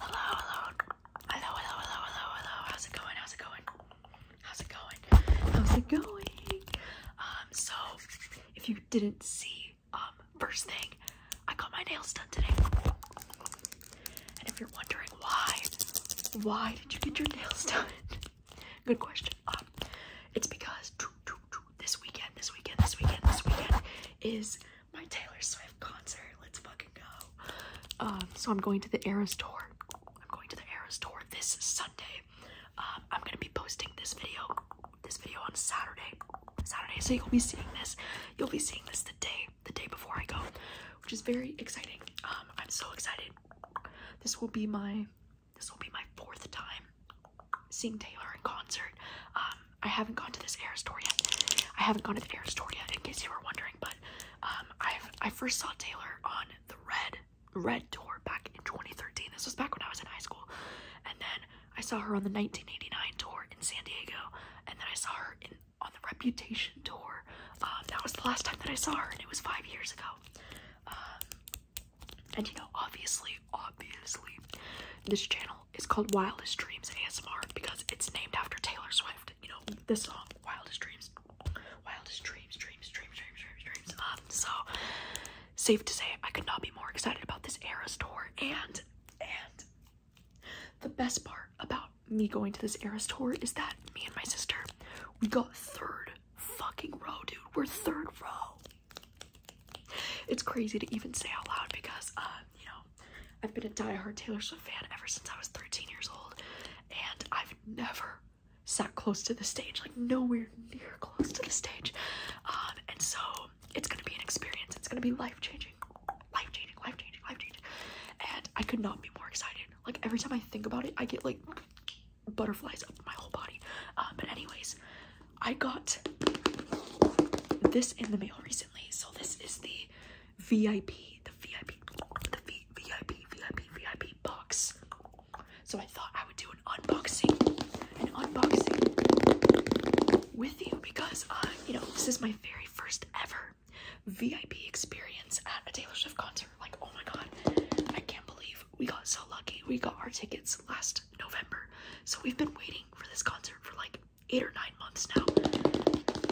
Hello, hello, hello, hello, hello, hello, How's it going? How's it going? How's it going? How's it going? Um, so if you didn't see, um, first thing, I got my nails done today. And if you're wondering why, why did you get your nails done? Good question. Um, it's because this weekend, this weekend, this weekend, this weekend is my Taylor Swift concert. Let's fucking go. Um, so I'm going to the Eras tour. I'm going to the Eras tour this Sunday. Um, I'm gonna be posting this video, this video on Saturday. Saturday, so you'll be seeing this. You'll be seeing this the day, the day before I go, which is very exciting. Um, I'm so excited. This will be my, this will be my fourth time seeing Taylor in concert. I haven't gone to this air store yet. I haven't gone to the air store yet, in case you were wondering. But um, I first saw Taylor on the Red Red tour back in 2013. This was back when I was in high school, and then I saw her on the 1989 tour in San Diego, and then I saw her on the Reputation tour. Um, that was the last time that I saw her, and it was five years ago. Um, and you know, obviously, obviously, this channel it's is called Wildest Dreams ASMR because it's named after Taylor Swift. You know, this song, Wildest Dreams. Wildest Dreams, Dreams, Dreams, Dreams, Dreams, Dreams. Um, so safe to say I could not be more excited about this Eras tour and and the best part about me going to this Eras tour is that me and my sister we got third fucking row, dude. We're third row. It's crazy to even say out loud because, uh, you know, I've been a diehard Taylor Swift fan ever since I was 13 years old, and I've never sat close to the stage, like nowhere near close to the stage. Um, and so it's gonna be an experience. It's gonna be life changing, life changing, life changing, life changing. And I could not be more excited. Like every time I think about it, I get like butterflies up my whole body. Uh, but anyways, I got this in the mail recently. So this is the VIP, the VIP, the VIP, VIP, VIP box. So I thought I would do an unboxing, an unboxing with you because, uh, you know, this is my very first ever VIP experience at a Taylor Swift concert. Like, oh my god, I can't believe we got so lucky. We got our tickets last November. So we've been waiting for this concert for like eight or nine months now.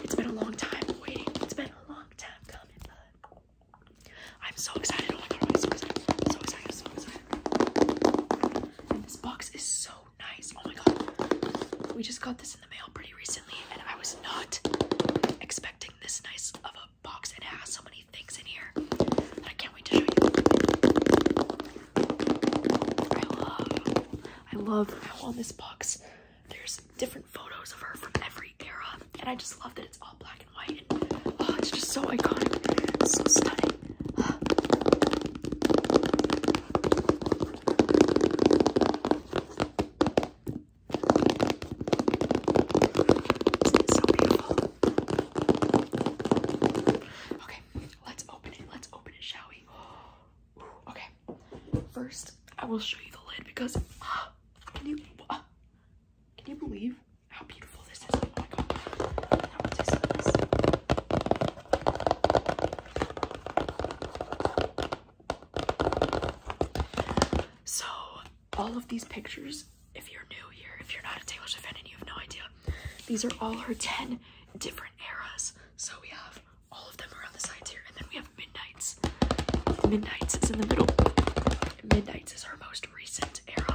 It's been a long time waiting. It's been a long time coming, oh I'm so excited. so excited. So excited, this box is so nice. Oh my god. We just got this in the mail pretty recently, and I was not expecting this nice of a box. and It has so many things in here. I can't wait to show you. I love, I love how on this box there's different photos of her from every era, and I just love that it's all black and white. Oh, it's just so iconic, so stunning. So beautiful. Okay, let's open it. Let's open it, shall we? okay. First, I will show you the lid because ah, can you ah, can you believe how beautiful this is? Oh my god. So all of these pictures, if you're new here, if you're not a Taylor Swift fan and you have no idea, these are all her 10 different eras. So we have all of them are on the sides here, and then we have Midnight's. Midnight's is in the middle. Midnight's is her most recent era.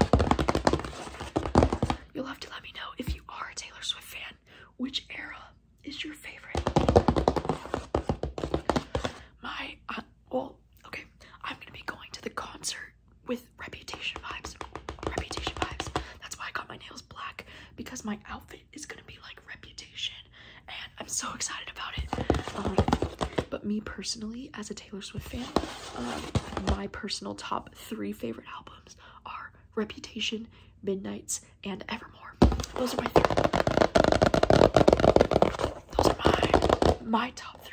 You'll have to let me know if you are a Taylor Swift fan, which era is your favorite? My, uh, well, okay, I'm gonna be going to the concert with reputation vibes. Reputation vibes. That's why I got my nails black because my outfit is gonna be like reputation and I'm so excited about it. Um, but me personally, as a Taylor Swift fan, um, my personal top three favorite albums are Reputation, Midnights, and Evermore. Those are my Those are my, my top three.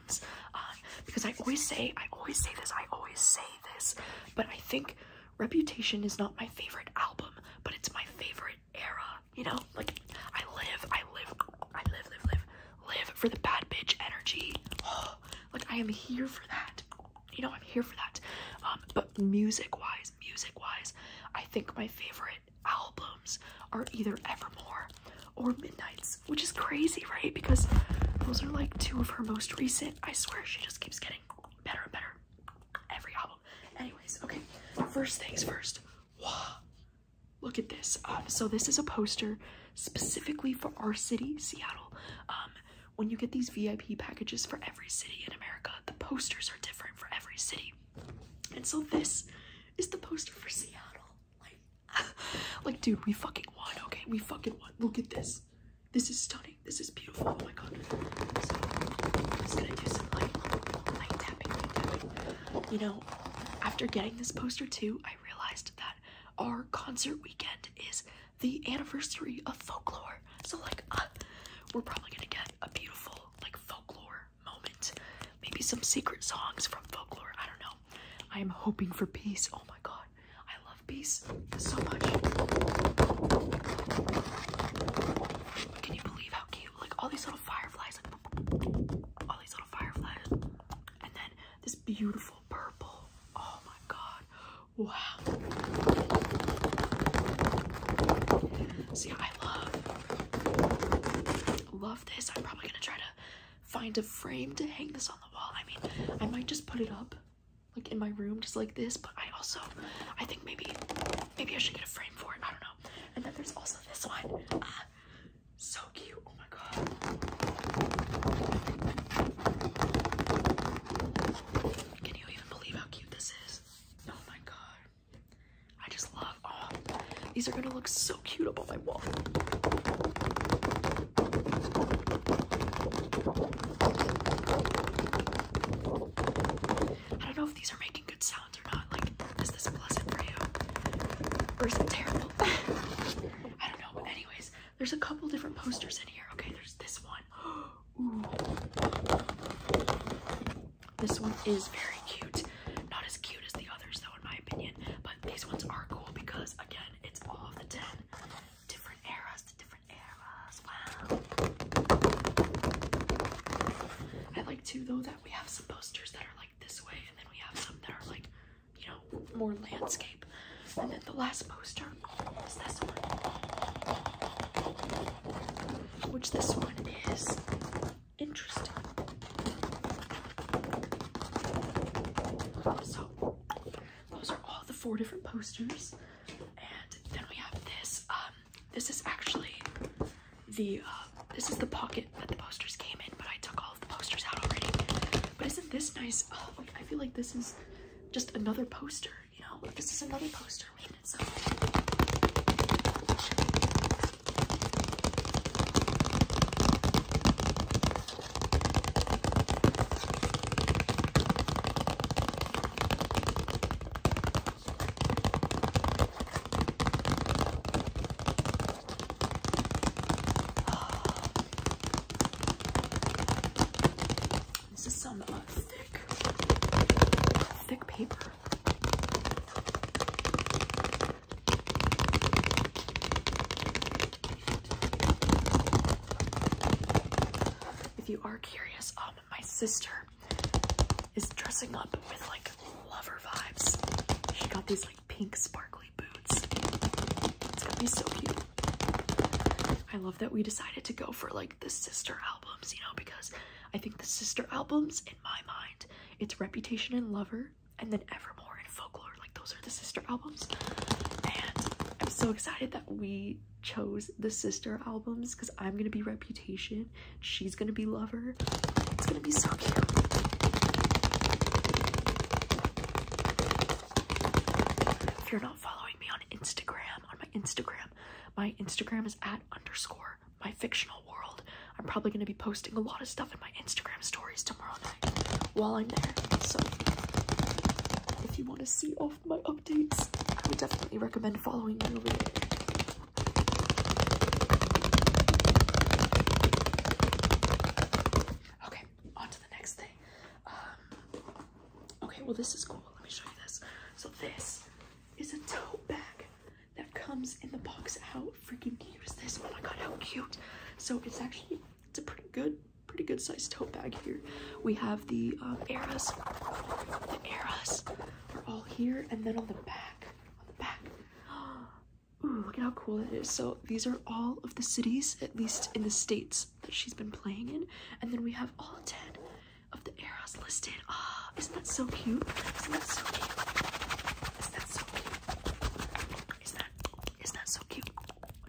Um, because I always say I always say this I always say this but I think Reputation is not my favorite album but it's my favorite era you know like I live I live I live live live live for the bad bitch energy like I am here for that you know I'm here for that um, but music wise music wise I think my favorite albums are either Evermore or Midnight's, which is crazy, right? Because those are like two of her most recent. I swear she just keeps getting better and better every album. Anyways, okay, first things first. Wow. Look at this. Um, so this is a poster specifically for our city, Seattle. Um, when you get these VIP packages for every city in America, the posters are different for every city. And so this is the poster for Seattle. Like, dude, we fucking won, okay? We fucking won. Look at this. This is stunning. This is beautiful. Oh my god. So, I'm just gonna do some light, light tapping, light tapping. You know, after getting this poster too, I realized that our concert weekend is the anniversary of folklore. So, like, uh, we're probably gonna get a beautiful, like, folklore moment. Maybe some secret songs from folklore. I don't know. I am hoping for peace. Oh my god. I love peace so much. Can you believe how cute? Like all these little fireflies. all these little fireflies. And then this beautiful purple. Oh my god. Wow. See, I love love this. I'm probably gonna try to find a frame to hang this on the wall. I mean, I might just put it up like in my room just like this, but I also I think maybe maybe I should get a frame for it. I don't know. And then there's also this one. Ah, so cute. Oh my god. Can you even believe how cute this is? Oh my god. I just love oh, these are gonna look so cute up on my wall. I don't know if these are making good sounds or not. Like, is this pleasant for you? Or is it terrible? I don't know, anyways, there's a couple different posters in here. Okay, there's this one. This one is very cute. Not as cute as the others though in my opinion. But these ones are cool because, again, it's all of the 10 different eras, different eras. Wow. I like too, though, that we have some posters that are like this way, and then we have some that are like, you know, more landscape. And then the last poster is this one, which this one is interesting. So those are all the four different posters. And then we have this. Um, this is actually the uh, this is the pocket that the posters came in, but I took all of the posters out already. But isn't this nice? Oh, I feel like this is just another poster. You know, this is another poster this is some uh, thick, thick paper. If you are curious, um, my sister is dressing up with like lover vibes. She got these like pink sparkly boots. It's gonna be so cute. I love that we decided to go for like the sister albums, you know, because I think the sister albums, in my mind, it's Reputation and Lover, and then Evermore and Folklore. Like those are the sister albums. And I'm so excited that we chose the sister albums because I'm gonna be Reputation, she's gonna be Lover. It's gonna be so cute. If you're not following me on Instagram, on my Instagram, my Instagram is at underscore my fictional world. I'm probably going to be posting a lot of stuff in my Instagram stories tomorrow night while I'm there. So if you want to see all of my updates, I would definitely recommend following me over there. Okay, on to the next thing. Um, okay, well this is cool. Let me show you this. So this is a tote bag that comes in the box. How freaking cute is this? Oh my god, how cute! So it's actually it's a pretty good, pretty good sized tote bag here. We have the um, eras, the eras. They're all here, and then on the back, on the back. look at how cool it is. So these are all of the cities, at least in the states that she's been playing in, and then we have all ten of the eras listed. Ah, isn't that so cute? Isn't that so cute? Is that so cute? Is that is that so cute?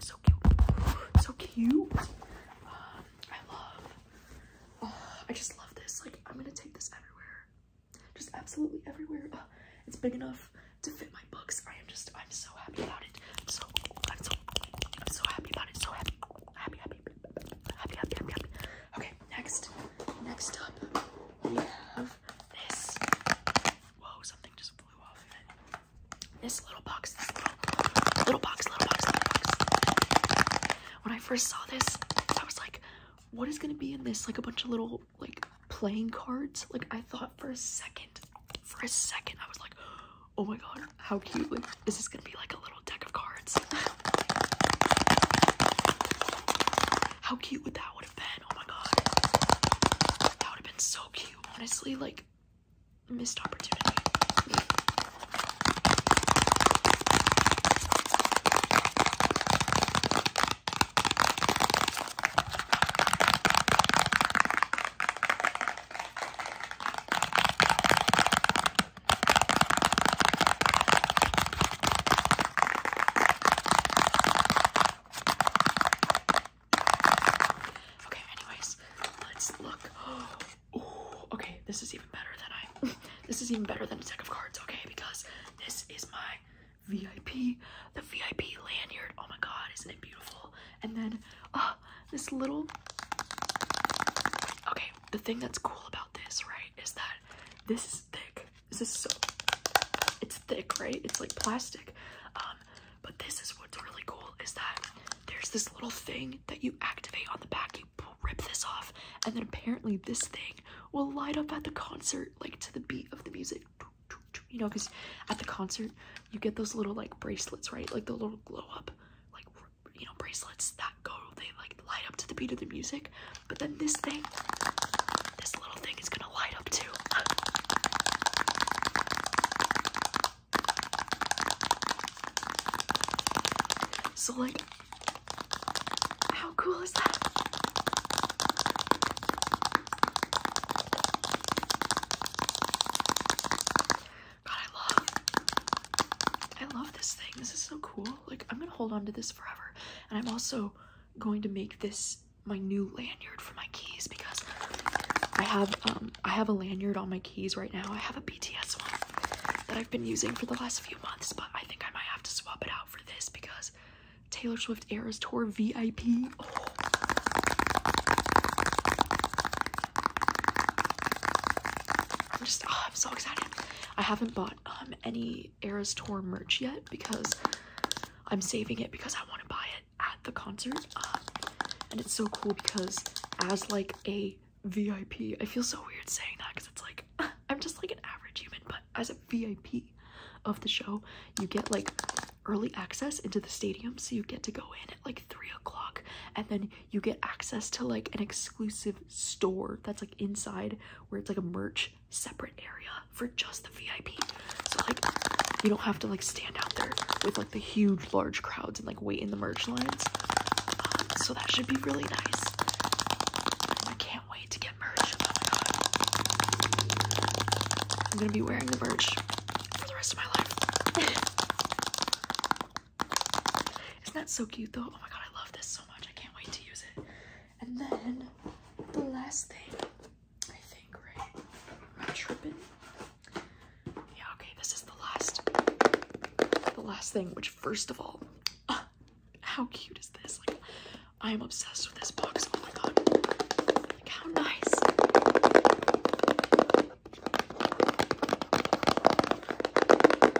So cute. So cute. Um, I love. Oh, I just love this. Like I'm gonna take this everywhere. Just absolutely everywhere. Uh, it's big enough to fit my books. I am just I'm so happy about it. I'm so I'm so I'm so happy about it. So happy. Happy happy happy happy happy happy. Okay, next next up we have this. Whoa, something just flew off it. This little box, little box, little box. When I first saw this, I was like, what is gonna be in this? Like a bunch of little, like, playing cards? Like, I thought for a second, for a second, I was like, oh my god, how cute. Like, is this gonna be like a little deck of cards? How cute would that would have been? Oh my god. That would have been so cute. Honestly, like missed opportunity. Okay, anyways, let's look. Oh, okay, this is even better than I. This is even better than a deck of cards, okay? Because this is my VIP, the VIP lanyard. Oh my god, isn't it beautiful? And then, uh, this little. Okay, the thing that's cool about this, right, is that this is thick. This is so, it's thick, right? It's like plastic. Um, but this is what's really cool is that there's this little thing that you activate on the back. You rip this off, and then apparently this thing will light up at the concert, like to the beat of the music. You know, because at the concert, you get those little like bracelets, right? Like the little glow up, like, you know, bracelets that go, they like light up to the beat of the music. But then this thing, this little thing is gonna light up too. So like, how cool is that? God, I love, I love this thing. This is so cool. Like, I'm gonna hold on to this forever. And I'm also going to make this my new lanyard for my keys because I have um I have a lanyard on my keys right now. I have a BTS one that I've been using for the last few months, but I think I might have to swap it out for this because Taylor Swift Eras Tour VIP. Oh. I'm just oh, I'm so excited. I haven't bought um any Eras Tour merch yet because I'm saving it because I want to buy it at the concert. Um, and it's so cool because as like a VIP, I feel so weird saying that because it's like I'm just like an average human, but as a VIP of the show, you get like early access into the stadium so you get to go in at like three o'clock and then you get access to like an exclusive store that's like inside where it's like a merch separate area for just the VIP. So like you don't have to like stand out there with like the huge large crowds and like wait in the merch lines. Um, so that should be really nice. I can't wait to get merch. Oh my god. I'm gonna be wearing the merch for the rest of my life. Isn't that so cute though? Oh my god, I love this so much. I can't wait to use it. And then the last thing, I think, right? Am tripping? Yeah, okay, this is the last the last thing, which first of all, uh, how cute is this? Like I am obsessed with this box. Oh my god. Like how nice.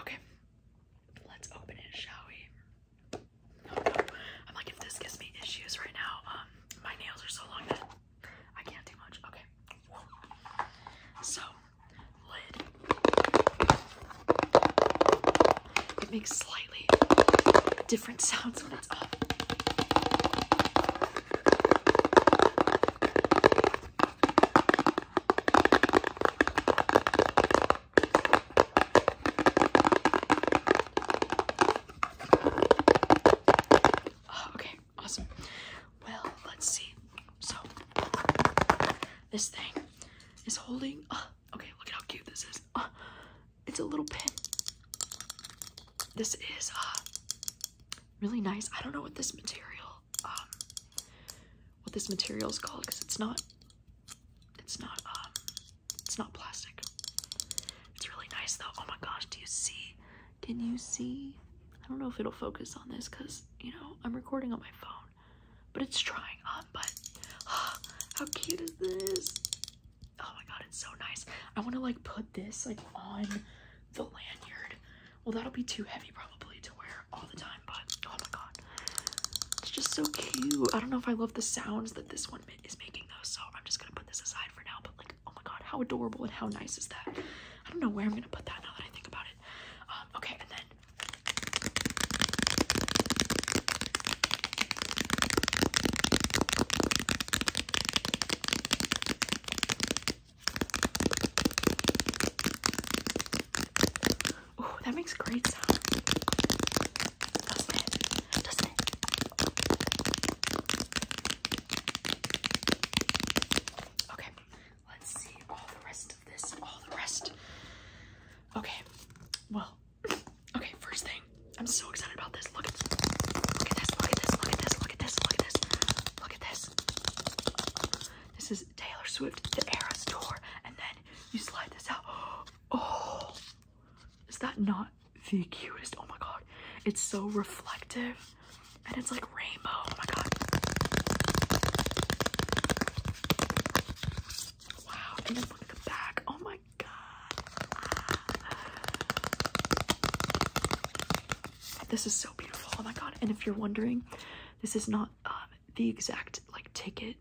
Okay, let's open it, shall we? Oh, I'm like, if this gives me issues right now, um, my nails are so long that I can't do much. Okay, so lid. It makes slightly different sounds when it's up. Oh, okay, awesome. Well, let's see. So, this thing is holding. Uh, okay, look at how cute this is. Uh, it's a little pin. This is uh, really nice. I don't know what this material um, what this material is called because it's not it's not um it's not plastic. It's really nice though. Oh my gosh, do you see? Can you see? I don't know if it'll focus on this because you know I'm recording on my phone, but it's trying on. Um, but how cute is this? Oh my god, it's so nice. I want to like put this like on the lanyard well, that'll be too heavy probably to wear all the time, but oh my god. It's just so cute. I don't know if I love the sounds that this one is making though, so I'm just gonna put this aside for now, but like, oh my god, how adorable and how nice is that? I don't know where I'm gonna put that now that I think about it. Um, okay, and then Oh, that makes great sound. Doesn't it? Doesn't it? Okay, let's see all the rest of this, all the rest. Okay, well, okay, first thing. I'm so excited about this. Look at, look at this, look at this, look at this, look at this, look at this, look at this. This is Taylor Swift, the Eras Tour, and then you slide this out. Oh, is that not the cutest? Oh my god, it's so reflective, and it's like rainbow. Oh my god. Wow, and look at the back. Oh my god. This is so Oh my god. And if you're wondering, this is not um, the exact like ticket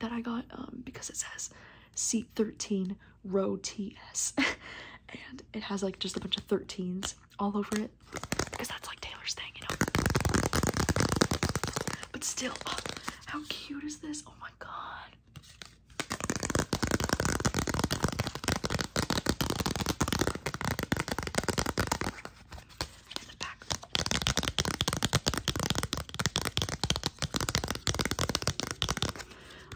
that I got um, because it says seat 13 row TS. and it has like just a bunch of 13s all over it because that's like Taylor's thing, you know. But still, oh, how cute is this? Oh my god.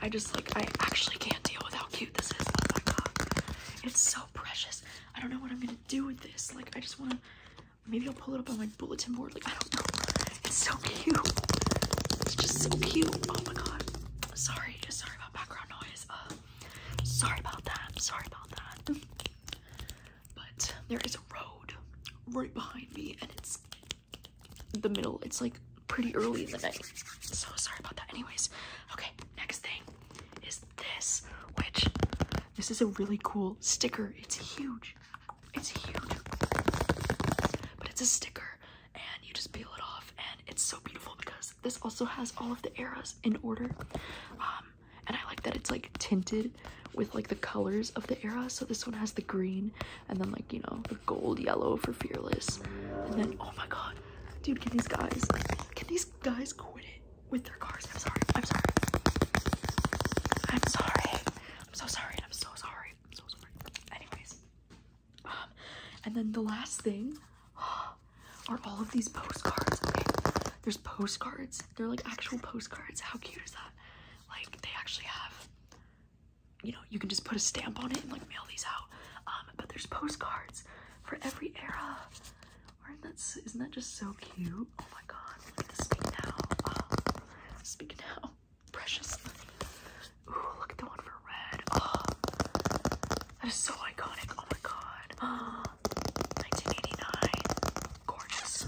I just like I actually can't deal with how cute this is. Oh my god. It's so precious. I don't know what I'm gonna do with this. Like I just wanna maybe I'll pull it up on my bulletin board. Like I don't know. It's so cute. It's just so cute. Oh my god. Sorry, sorry about background noise. Uh, Sorry about that. Sorry about that. But there is a road right behind me, and it's the middle. It's like pretty early in the night. So sorry about that. Anyways, okay, next thing is this, which this is a really cool sticker. It's huge. It's huge. But it's a sticker and you just peel it off and it's so beautiful because this also has all of the eras in order um and i like that it's like tinted with like the colors of the era so this one has the green and then like you know the gold yellow for fearless and then oh my god dude can these guys can these guys quit it with their cars i'm sorry i'm sorry i'm sorry i'm so sorry i'm so sorry i'm so sorry anyways um, and then the last thing are all of these postcards. there's postcards. They're like actual postcards. How cute is that? Like they actually have, you know, you can just put a stamp on it and like mail these out. Um, but there's postcards for every era. Aren't that isn't that just so cute? Oh my god, speak now. Ah. Precious. Ooh, look at the one for red. Oh, that is so iconic. Oh my god. Oh, 1989. Gorgeous.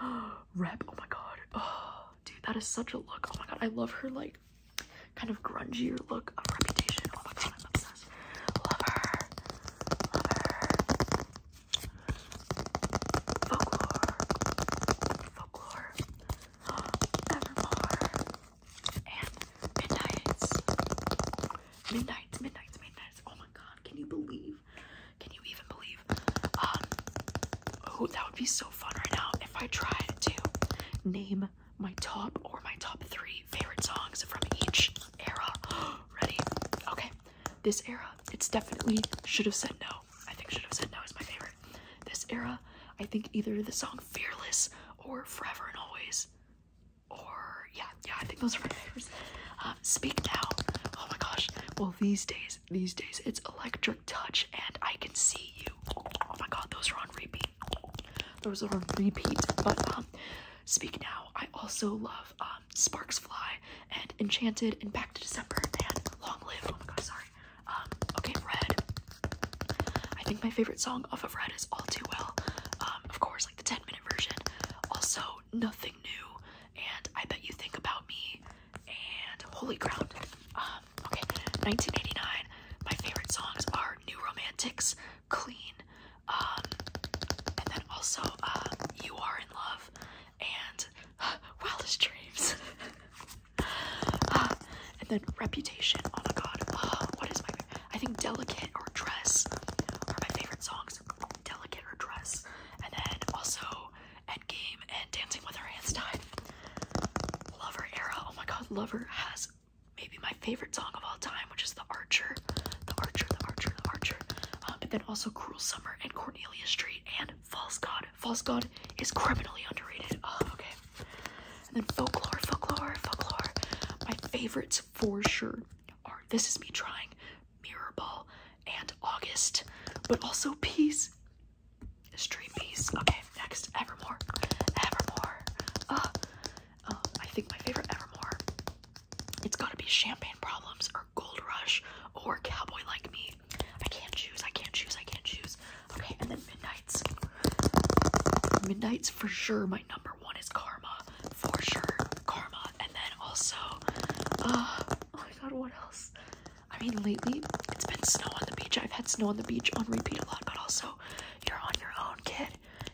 Oh, rep. Oh my god. Oh, dude, that is such a look. Oh my god. I love her, like, kind of grungier look of reputation. Oh my god. I'm obsessed. Love her. Love her. Folklore. Folklore. Evermore midnights. Midnights, midnights, midnights. Oh my god, can you believe? Can you even believe? Um oh that would be so fun right now if I tried to name my top or my top three favorite songs from each era. Ready? Okay. This era, it's definitely should have said no. I think should have said no is my favorite this era. I think either the song Fearless or Forever and Always. Or, yeah, yeah, I think those are my favorites. Um, Speak Now. Oh my gosh. Well, these days, these days, it's Electric Touch and I Can See You. Oh my god, those are on repeat. Those are on repeat. But, um, Speak Now. I also love um, Sparks Fly and Enchanted and Back to December and Long Live. Oh my god, sorry. Um, okay, Red. I think my favorite song off of Red is All Too Well. Um, of course, like the 10 minute version. Also, Nothing New, and I Bet You Think About Me, and Holy Ground. Um, okay, 1989. My favorite songs are New Romantics, Clean, and then also uh, You Are in Love, and Wildest Dreams. and then Reputation. Oh my god. Oh, what is my favorite? I think Delicate or Dress are my favorite songs. Delicate or Dress. And then also game and Dancing with Her Hands Tied. Lover era. Oh my god. Lover has maybe my favorite song of all time, which is The Archer. The Archer, The Archer, The Archer. Um, and then also Cruel Summer and Cornelia Street and False God. False God is criminally underrated. Oh, okay. And then folklore, folklore, folklore. My favorites for sure are This Is Me Trying, Mirror Ball, and August, but also Peace. Stream Peace. Okay, next, Evermore. Evermore. Uh, uh, I think my favorite Evermore, it's gotta be Champagne Problems or Gold Rush or Cowboy Like Me. I can't choose, I can't choose, I can't choose. Okay, and then Midnight's. Midnight's for sure my number one is Karma. For sure, Karma. And then also, uh, oh my god, what else? I mean, lately it's been snow on the beach. I've had snow on the beach on repeat a lot, but also you're on your own, kid.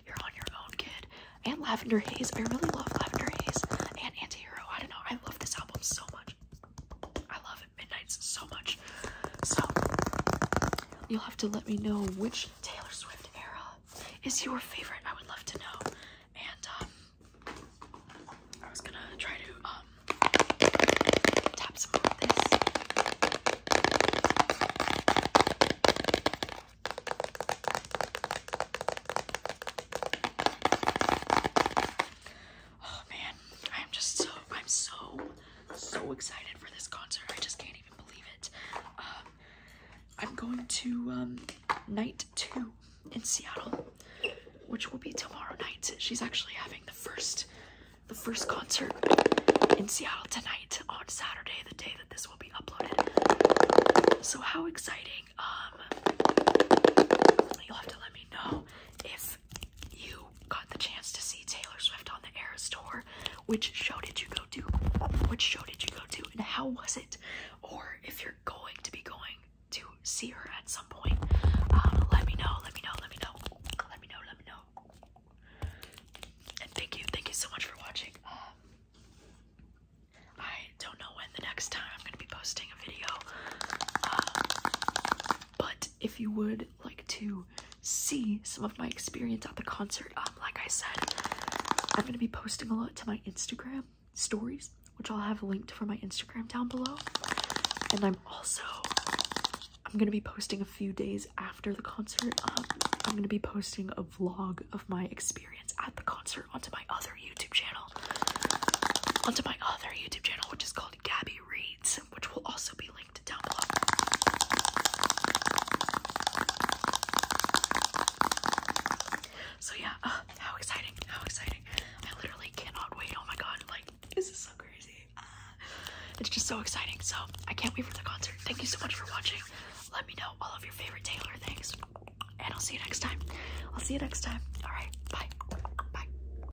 You're on your own, kid. And Lavender Haze. I really love Lavender Haze and Antihero. I don't know. I love this album so much. I love it. Midnight's so much. So you'll have to let me know which Taylor Swift era is your favorite. I would love to know. And um, I was gonna try to um, tap some of this. Oh man, I am just so I'm so so excited for this concert. I just can't even believe it. Um, I'm going to um, night two in Seattle, which will be tomorrow night. She's actually having the first the first concert in Seattle tonight on Saturday, the day that this will be uploaded. So how exciting! Um, you'll have to let me know if you got the chance to see Taylor Swift on the Eras tour. Which show did you go to? Which show did you go to, and how was it? Or if you're going to be going to see her at some point, um, let me know. Let me know. Let me know. Let me know. Let me know. And thank you, thank you so much for watching. Um, I don't know when the next time I'm gonna be posting a video, um, but if you would like to see some of my experience at the concert, um, like I said, I'm going to be posting a lot to my Instagram stories, which I'll have linked for my Instagram down below. And I'm also, I'm going to be posting a few days after the concert. Um, I'm going to be posting a vlog of my experience at the concert onto my other YouTube channel. Onto my other YouTube channel, which is called Gabby Reads which will also be linked down below. So yeah, uh, how exciting, how exciting. I literally cannot wait. Oh my god, like this is so crazy. Uh, it's just so exciting. So I can't wait for the concert. Thank you so much for watching. Let me know all of your favorite Taylor things. And I'll see you next time. I'll see you next time. Alright, bye. Bye.